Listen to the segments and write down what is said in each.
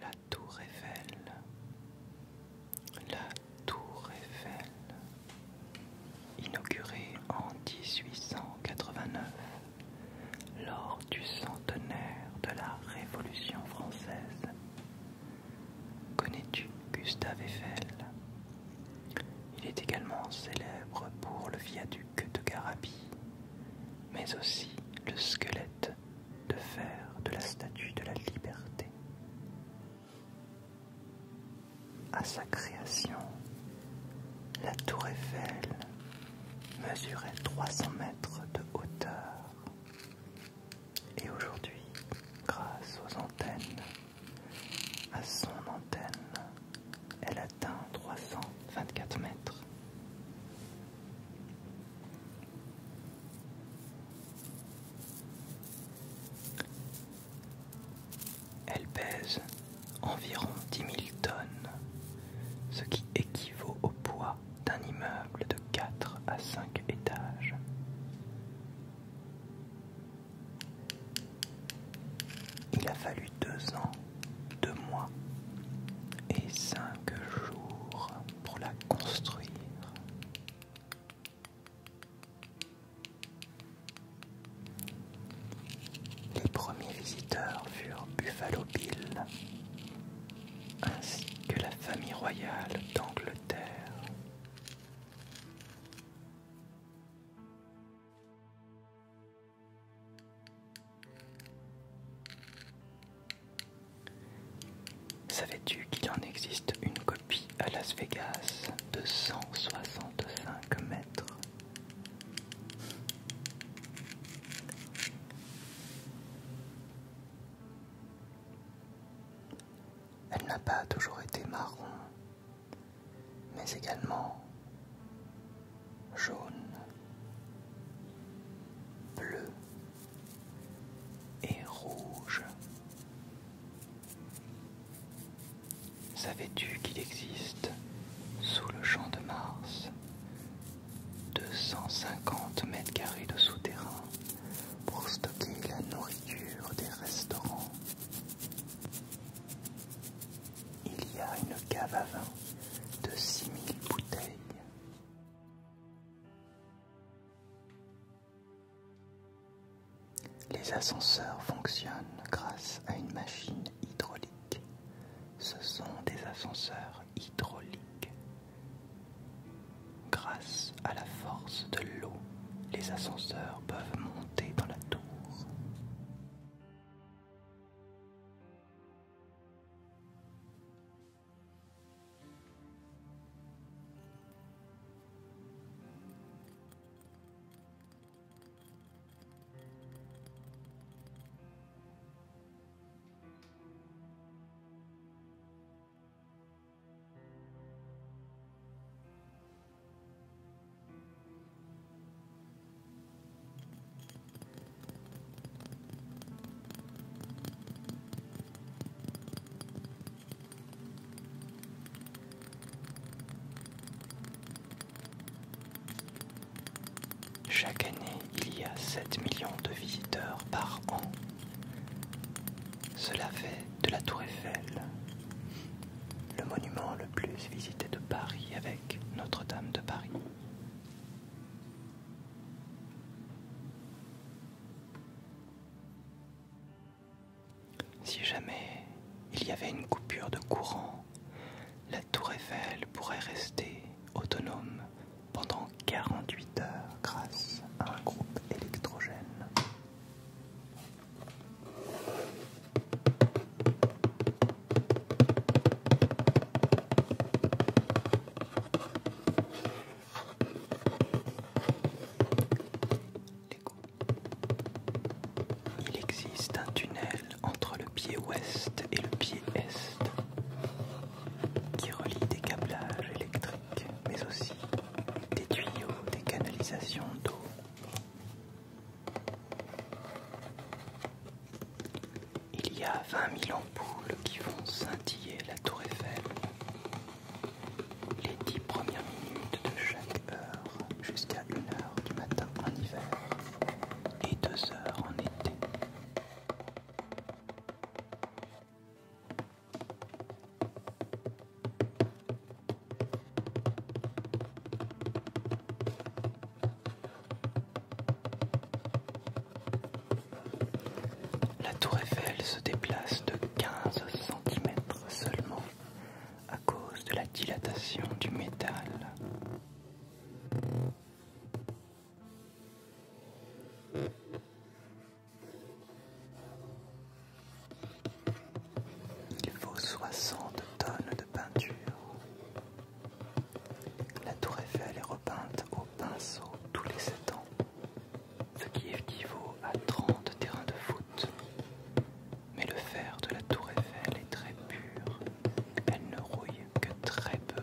La tour Eiffel. La tour Eiffel. Inaugurée en 1889 lors du centenaire de la Révolution française, Connais-tu Gustave Eiffel Il est également célèbre pour le viaduc de Garabie, mais aussi le squelette de fer de la Statue de la Liberté. À sa création, la tour Eiffel mesurait 300 mètres de hauteur et aujourd'hui, grâce aux antennes, à son antenne, elle atteint 324 mètres. Elle pèse environ 10 000 tonnes, ce qui équivaut au poids d'un immeuble de 4 à 5 étages. Il a fallu deux ans, deux mois et cinq jours pour la construire. Les premiers visiteurs furent Buffalo Bill ainsi que la famille royale d'Angleterre. Savais-tu qu'il en existe une copie à Las Vegas de soixante 165 mètres elle n'a pas toujours été marron, mais également jaune, bleu et rouge. Savais-tu qu'il existe sous le champ de Mars 250 mètres carrés de souterrain pour stocker la nourriture des restaurants. Il y a une cave à vin de 6000 bouteilles. Les ascenseurs fonctionnent grâce à une machine hydraulique. Ce sont des ascenseurs hydrauliques Grâce à la force de l'eau, les ascenseurs peuvent monter dans la tour. Chaque année, il y a 7 millions de visiteurs par an cela fait de la Tour Eiffel le monument le plus visité de Paris avec Notre-Dame de Paris. Si jamais il y avait une coupure de courant, la tour Eiffel pourrait rester autonome pendant 48 heures grâce à un groupe électrogène. Il existe un tunnel entre le pied ouest et le pied est qui relie des câblages électriques mais aussi des tuyaux, des canalisations d'eau. Il y a 20 000 ampoules qui vont scintiller la tour Eiffel. Les dix premières minutes de chaque heure jusqu'à 1 heure du matin en hiver et 2 heures en été. La tour Eiffel se déplace de 15 cm seulement à cause de la dilatation du métal. Il vaut 60 tonnes de peinture. La tour Eiffel est repeinte au pinceau tous les 7 ans, ce qui équivaut à 30 terrains de foot. Mais le fer de la tour Eiffel est très pur, elle ne rouille que très peu.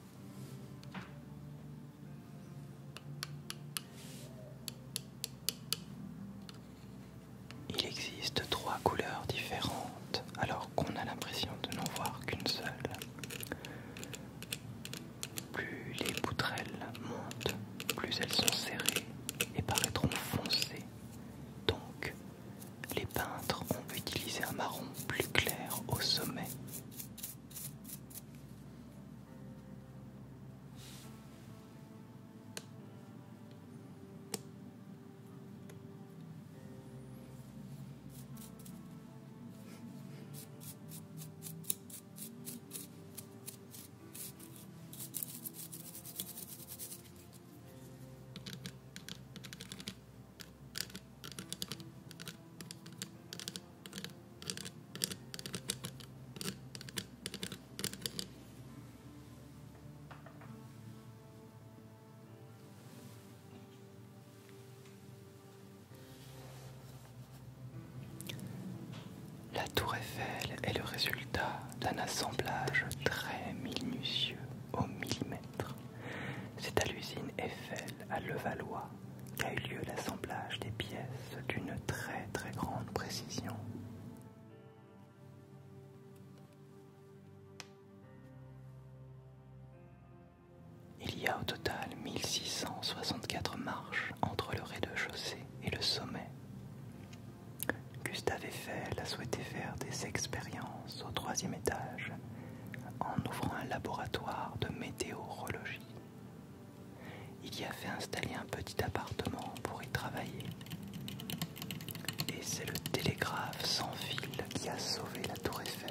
Il existe trois couleurs différentes alors qu'on a l'impression de n'en voir qu'une seule. Plus les poutrelles montent, plus elles sont serrées et paraîtront foncées. Donc, les peintres ont utilisé un marron plus clair au sommet. La tour Eiffel est le résultat d'un assemblage très minutieux au millimètre c'est à l'usine Eiffel à Levallois qu'a eu lieu l'assemblage des pièces d'une très très grande précision. Il y a au total 1664 marches entre le rez-de-chaussée et le sommet. Gustave Eiffel a souhaité faire des expériences au troisième étage en ouvrant un laboratoire de météorologie. Il y a fait installer un petit appartement pour y travailler. Et c'est le télégraphe sans fil qui a sauvé la tour Eiffel.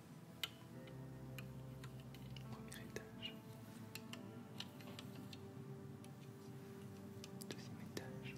Premier étage. Deuxième étage. Troisième étage.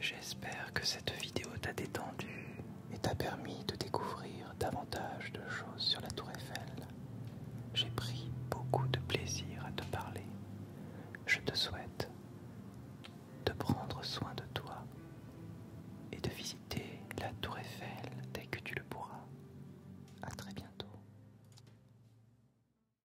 J'espère que cette vidéo t'a détendu et t'a permis de découvrir davantage de choses sur la tour Eiffel. J'ai pris beaucoup de plaisir à te parler. Je te souhaite de prendre soin de toi et de visiter la tour Eiffel dès que tu le pourras. À très bientôt.